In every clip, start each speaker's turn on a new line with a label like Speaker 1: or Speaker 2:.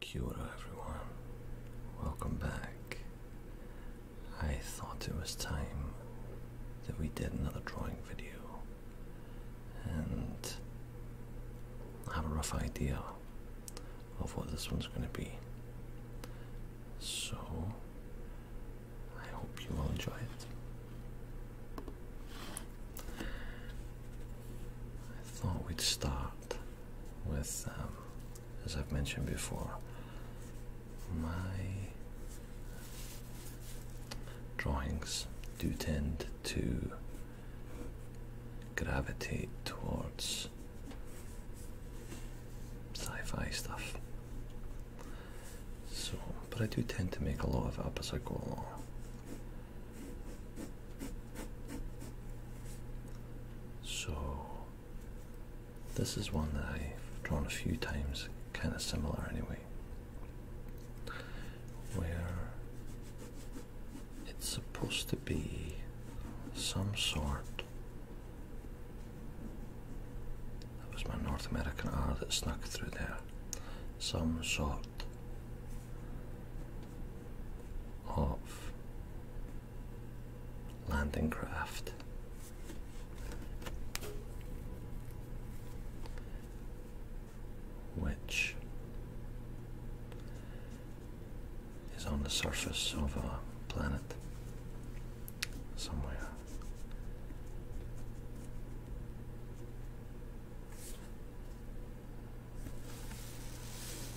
Speaker 1: Kia everyone. Welcome back. I thought it was time that we did another drawing video and I have a rough idea of what this one's going to be. So, I hope you all enjoy it. I thought we'd start with, um, as I've mentioned before, my drawings do tend to gravitate towards sci-fi stuff. So, but I do tend to make a lot of up as I go along. So, this is one that I've drawn a few times, kind of similar anyway, where it's supposed to be some sort. That was my North American R that snuck through there. Some sort of landing craft. Which is on the surface of a planet somewhere.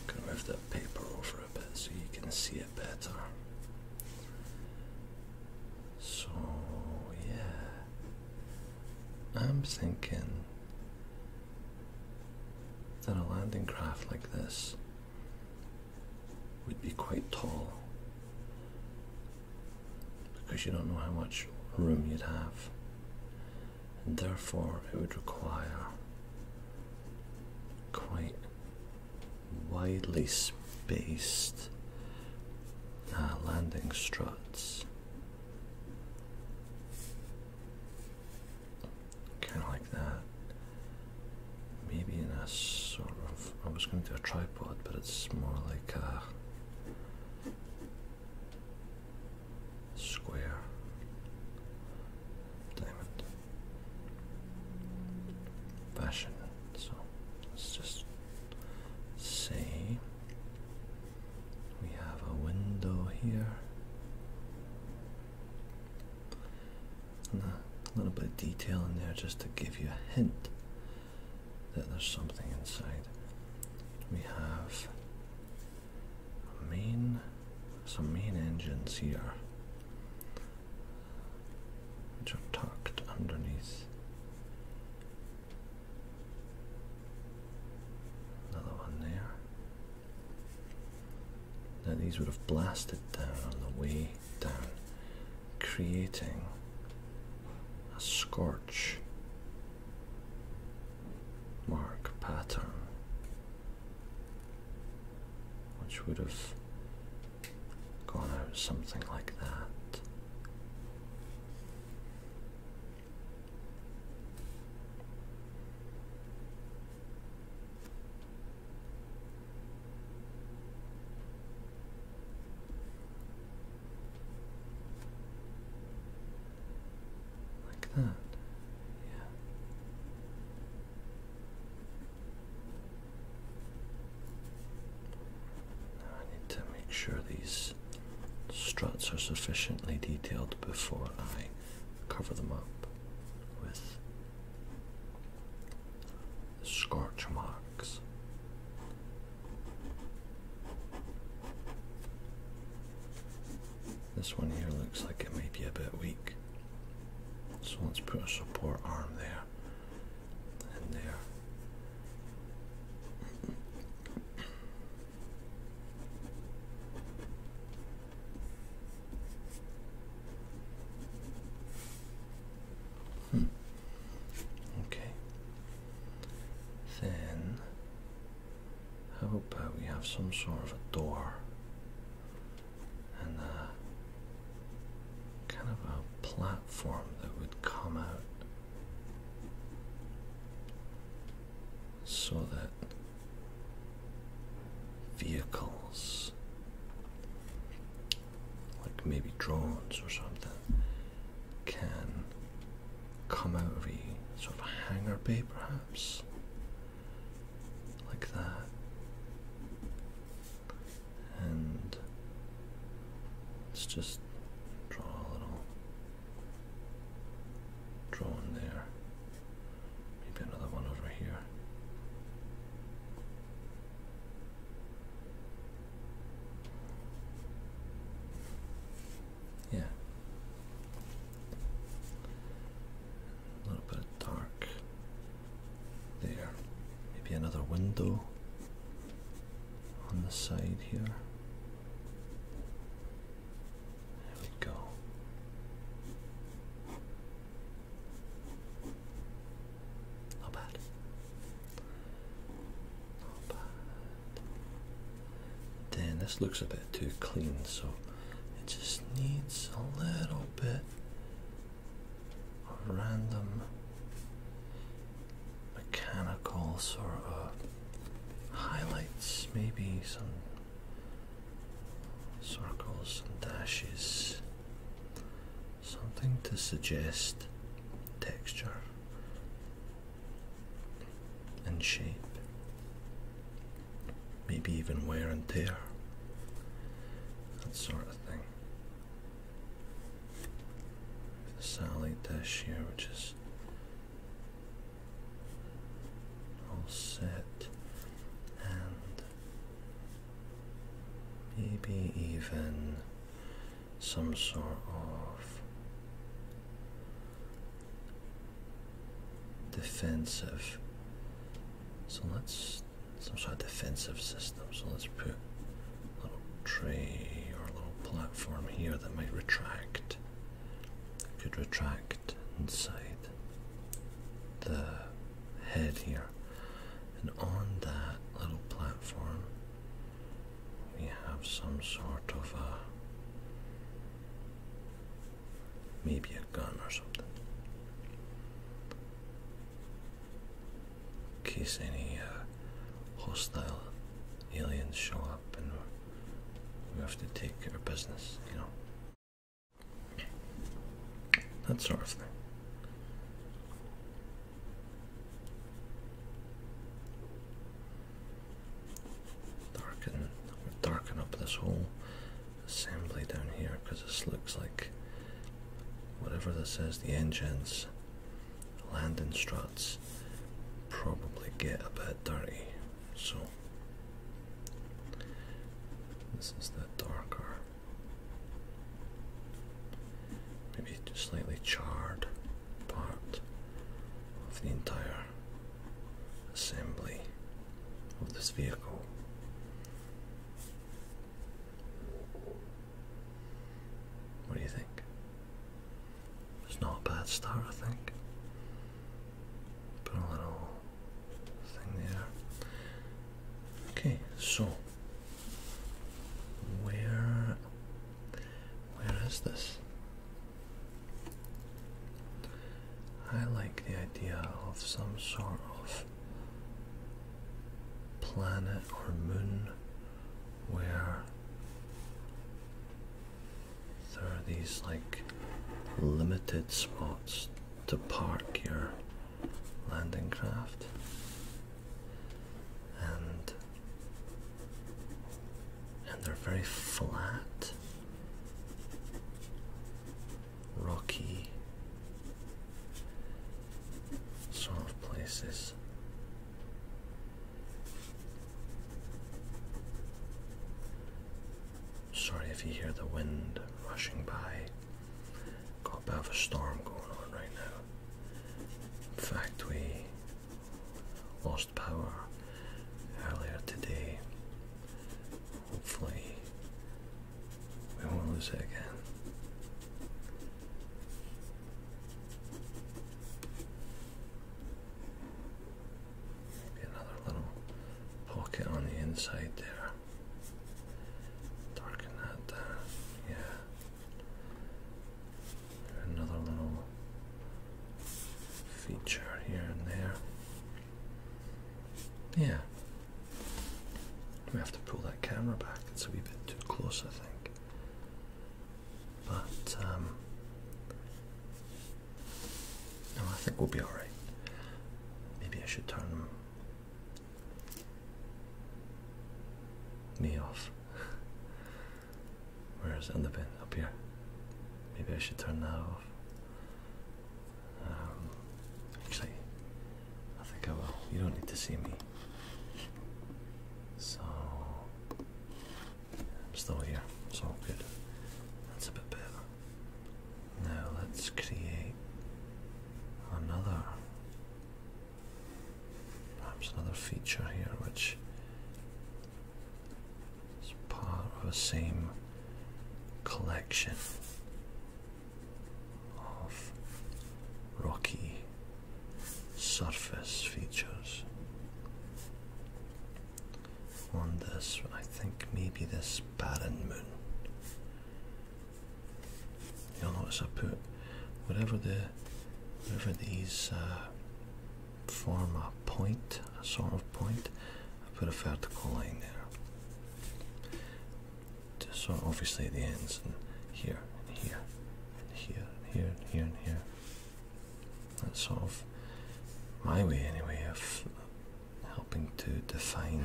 Speaker 1: Can move that paper over a bit so you can see it better. So yeah, I'm thinking that a landing craft like this would be quite tall because you don't know how much room you'd have and therefore it would require quite widely spaced uh, landing struts. Kind of like that. Maybe in a sort of. I was going to do a tripod, but it's more like a square diamond fashion. So let's just say we have a window here. And a little bit of detail in there just to give you a hint that there's something inside. We have main some main engines here which are tucked underneath another one there now these would have blasted down on the way down creating a scorch mark pattern which would have gone out something like that like that. Yeah. I need to make sure these struts are sufficiently detailed before I cover them up with scorch marks. This one here looks like it may be a bit weak. So let's put a support arm there and there. Hmm. Okay. Then how about we have some sort of a door and a kind of a platform that would come out so that vehicles like maybe drones or something can come out of a sort of a hangar bay perhaps like that, and let's just draw a little drawn there, maybe another one over here. Yeah. A little bit of dark there. Maybe another window on the side here. There we go. Not bad. Not bad then this looks a bit too clean so it just needs a little bit of random mechanical sort of highlights maybe some circles and dashes something to suggest texture and shape, maybe even wear and tear, that sort of thing. The satellite dish here, which is all set, and maybe even some sort of defensive. So let's some sort of defensive system. So let's put a little tray or a little platform here that might retract. Could retract inside the head here. And on that little platform we have some sort of a Maybe a gun or something. In case any uh, hostile aliens show up and we have to take care of business, you know. That sort of thing. Darken, darken up this whole assembly down here because this looks like whatever this is, the engines, landing struts probably get a bit dirty. So, this is the darker, maybe slightly charred part of the entire assembly of this vehicle. What do you think? It's not a bad start, I think. Put a little thing there. Okay, so where where is this? I like the idea of some sort of planet or moon where there are these like limited spots to park your landing craft and they're very flat, rocky sort of places. Sorry if you hear the wind rushing by. Got a bit of a storm going on right now. In fact, we lost power earlier today. Hopefully, we won't lose it again. another little pocket on the inside there. Darken that yeah. Another little feature here and there. Yeah. We have to pull that camera back. It's a wee bit too close, I think. But um, no, I think we'll be all right. Maybe I should turn me off. Where is it in the Up here. Maybe I should turn now. Um, actually, I think I will. You don't need to see me. So, I'm still here. It's all good. That's a bit better. Now let's create another, perhaps another feature here, which it's part of the same collection of rocky surface features. On this, I think maybe this barren moon. You'll notice I put whatever the whatever these uh, form a point, a sort of point. I put a vertical line there. So obviously the ends and here and here and here and here here and here. That's sort of my way anyway of helping to define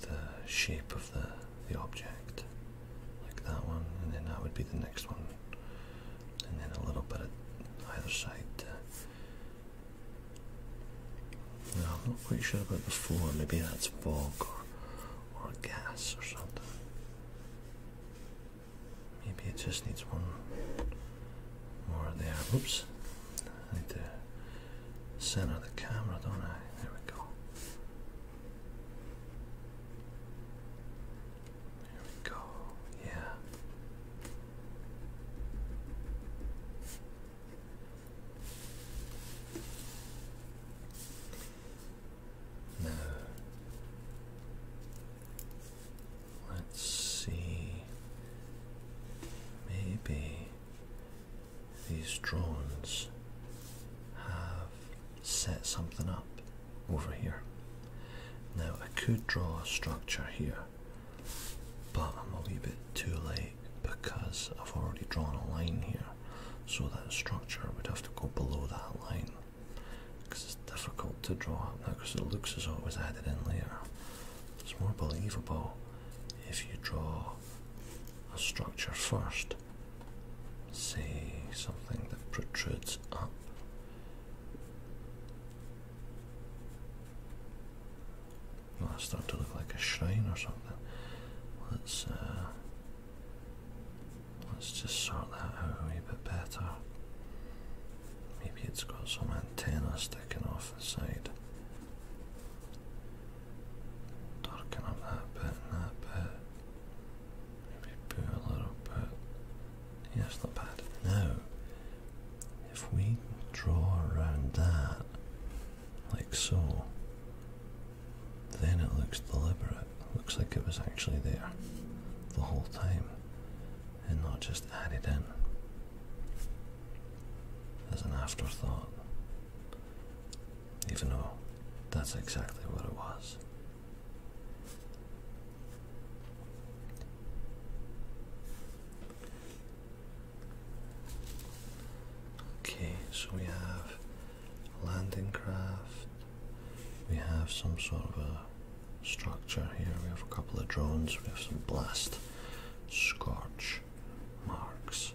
Speaker 1: the shape of the the object. Like that one, and then that would be the next one and then a little bit of either side. No, I'm not quite sure about the floor. Maybe that's fog or, or gas or something. Maybe it just needs one more there. Oops. I need to center the camera, don't I? There we go. There we go. Yeah. Now, let's see. Maybe these drones have set something up over here. Now I could draw a structure here, but I'm a wee bit too late because I've already drawn a line here, so that structure would have to go below that line because it's difficult to draw up now because it looks as though it was added in later. It's more believable if you draw a structure first, say something that protrudes up well, I start to look like a shrine or something. Let's uh, let's just sort that out a wee bit better. Maybe it's got some antenna sticking off the side. Darken up that bit and that bit. Maybe a little bit yeah, not bad. Now, if we draw around that, like so, then it looks deliberate. looks like it was actually there the whole time and not just added in as an afterthought, even though that's exactly what it was. Okay, so we have landing craft, we have some sort of a structure here, we have a couple of drones, we have some blast scorch marks,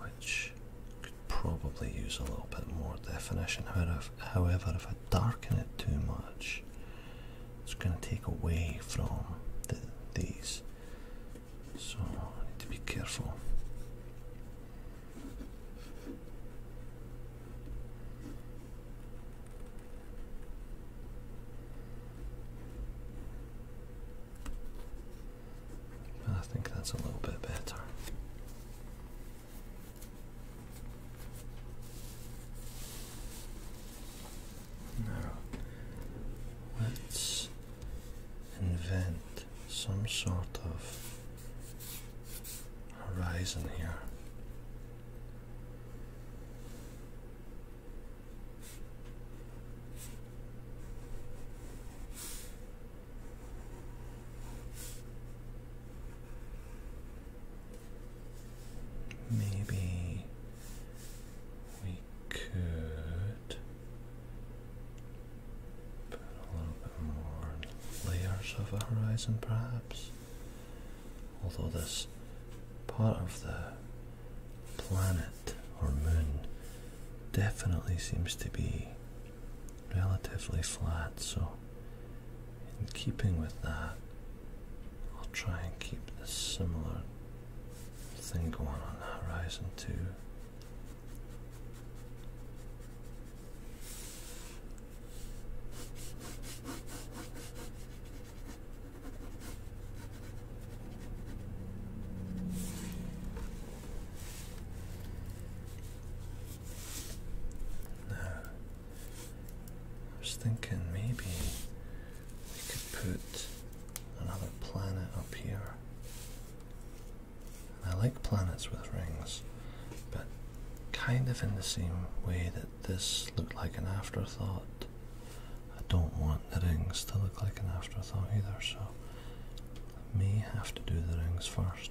Speaker 1: which could probably use a little bit more definition. However, if I darken it too much, it's going to take away from these. So I need to be careful. I think that's a little bit better. Now, let's invent some sort of horizon here. Maybe we could put a little bit more layers of the horizon, perhaps. Although this part of the planet or moon definitely seems to be relatively flat, so in keeping with that, I'll try and keep this similar thing going on the horizon too. Now, I was thinking maybe we could put another planet up here. I like planets with rings, but kind of in the same way that this looked like an afterthought. I don't want the rings to look like an afterthought either, so I may have to do the rings first.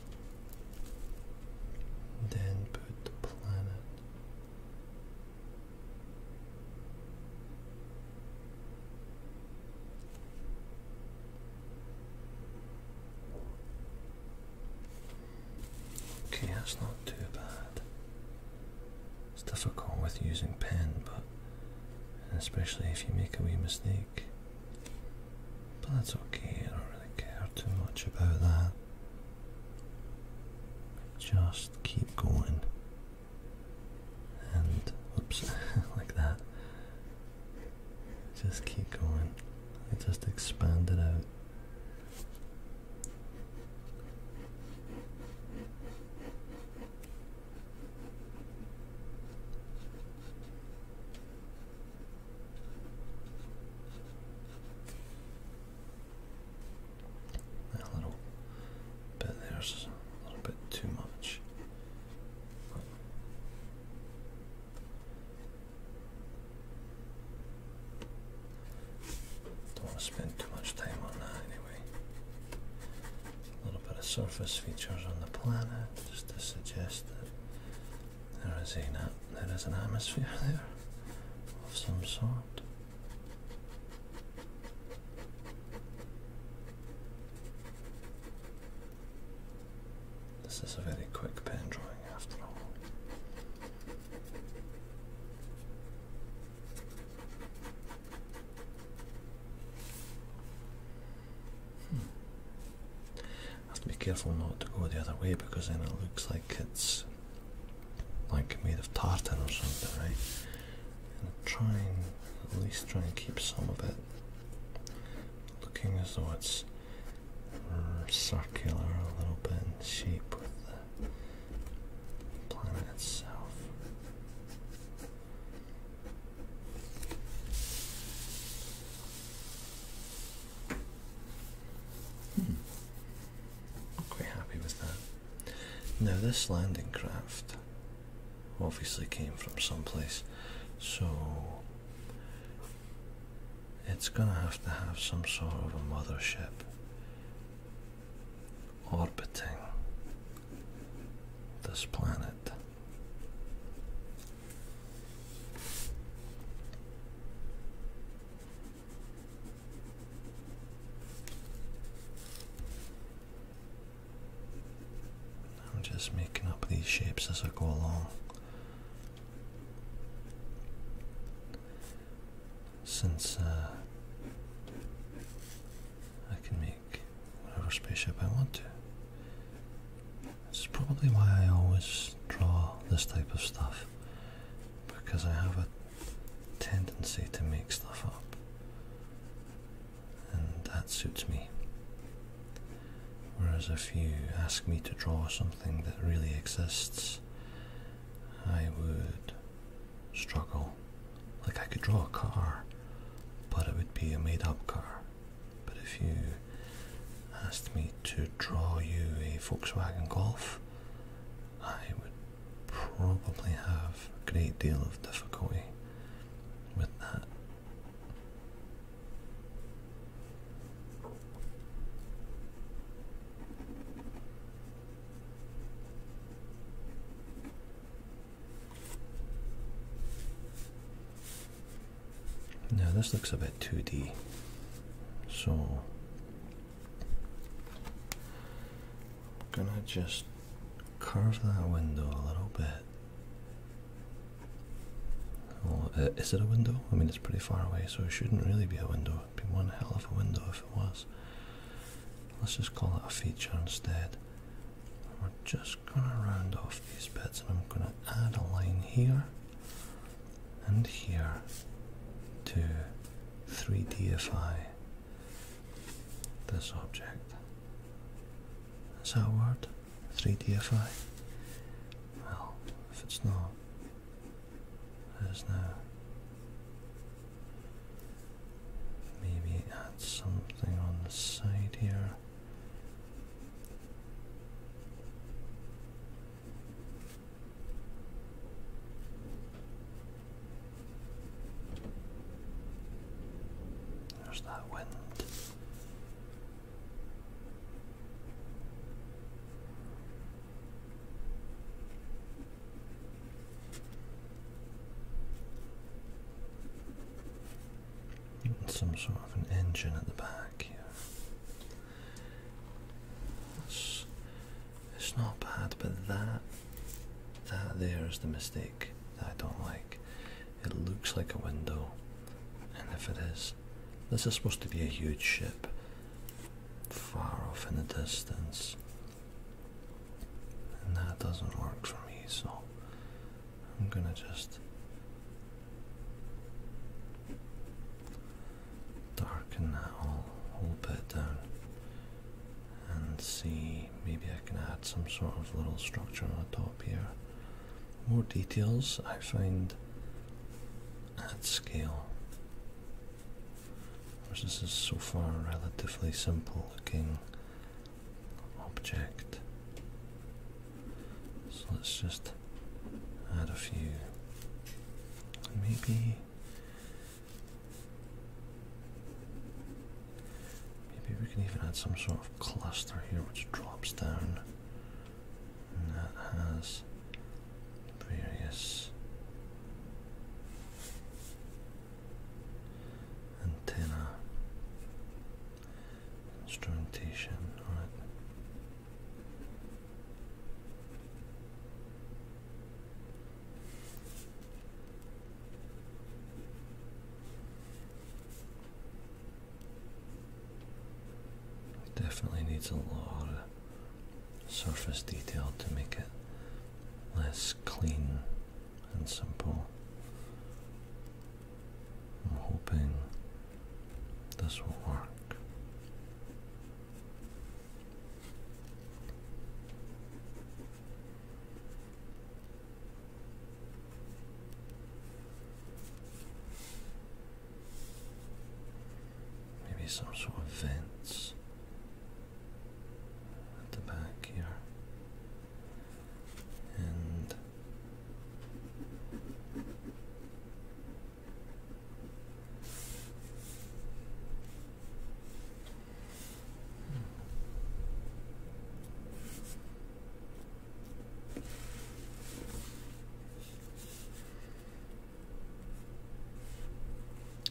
Speaker 1: Then put the planet. Okay, that's not too bad. It's difficult with using pen, but especially if you make a wee mistake. But that's okay, I don't really care too much about that. Just keep going. And, oops, like that. Just keep going. just expand it out. A little bit there's a little bit too much. Don't want to spend too much time on that anyway. A little bit of surface features on the planet just to suggest that there is, a, there is an atmosphere there of some sort. This is a very quick pen drawing after all. I hmm. have to be careful not to go the other way because then it looks like it's like made of tartan or something, right? And try and at least try and keep some of it looking as though it's circular a little bit in shape with the planet itself. I'm hmm. quite happy with that. Now, this landing craft obviously came from someplace, so it's gonna have to have some sort of a mothership orbiting this planet. I'm just making up these shapes as I go along. Since uh, I can make whatever spaceship I want to. It's probably why I always draw this type of stuff because I have a tendency to make stuff up, and that suits me. Whereas if you ask me to draw something that really exists, I would struggle. Like I could draw a car, but it would be a made up car. But if you asked me to draw you a Volkswagen Golf, I would probably have a great deal of difficulty with that. Now this looks a bit 2D so I'm gonna just curve that window a little bit. Oh, is it a window? I mean, it's pretty far away, so it shouldn't really be a window. It'd be one hell of a window if it was. Let's just call it a feature instead. We're just gonna round off these bits and I'm gonna add a line here and here to 3Dify this object. Is that a word? 3Dify? Well, if it's not, it is now. Maybe add something on the side here. There's that wind. Some sort of an engine at the back here. It's, not bad, but that that there is the mistake that I don't like. It looks like a window, and if it is, this is supposed to be a huge ship, far off in the distance, and that doesn't work for me. So I'm gonna just darken that whole, whole bit down and see maybe I can add some sort of little structure on the top here. More details I find at scale. Course, this is so far a relatively simple looking object. So let's just add a few maybe maybe we can even add some sort of cluster here which drops down that has various antenna instrumentation on it definitely needs a lot of surface detail to make it less clean and simple. I'm hoping this will work. Maybe some sort of vents at the back here. And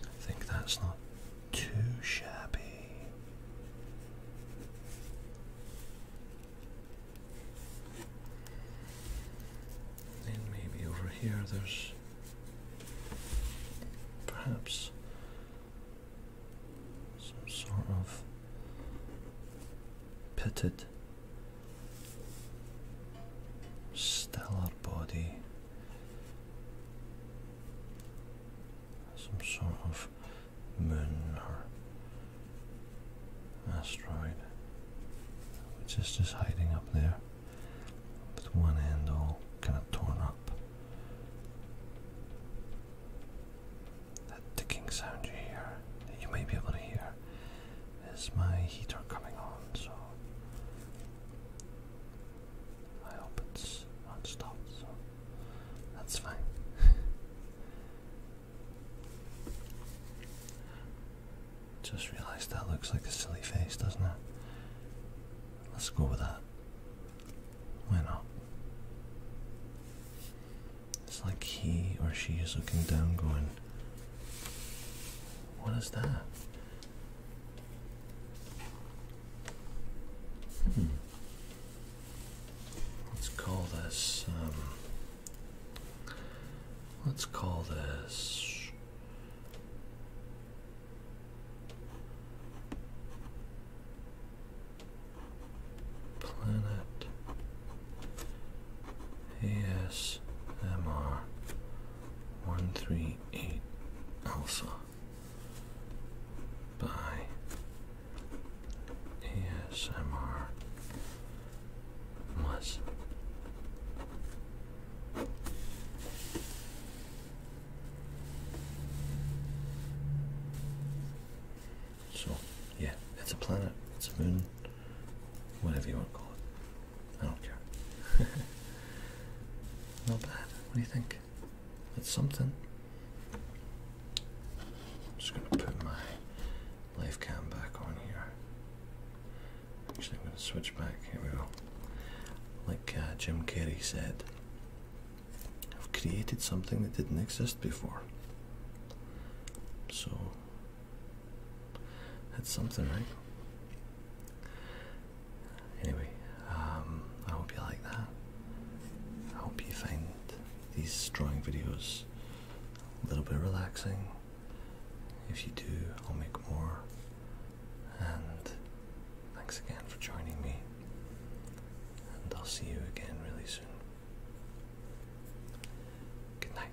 Speaker 1: I think that's not too shabby. And maybe over here there's perhaps some sort of pitted stellar body. Some sort of moon or asteroid, which is just hiding up there with one end all kind of torn up. That ticking sound you hear, that you may be able to hear, is my heater coming on, so I hope it's not stopped, so that's fine. Just realised that looks like a silly face, doesn't it? Let's go with that. Why not? It's like he or she is looking down going, What is that? Hmm. Let's call this, um, let's call this Planet ASMR one three eight Alpha by ASMR was. So, yeah, it's a planet, it's a moon, whatever you want to call it. I not bad. What do you think? It's something. I'm just going to put my life cam back on here. Actually, I'm going to switch back. Here we go. Like uh, Jim Carrey said, I've created something that didn't exist before. So, that's something, right? Anyway, um, I hope you like that. I hope you find these drawing videos a little bit relaxing. If you do, I'll make more. And thanks again for joining me. And I'll see you again really soon. Good night.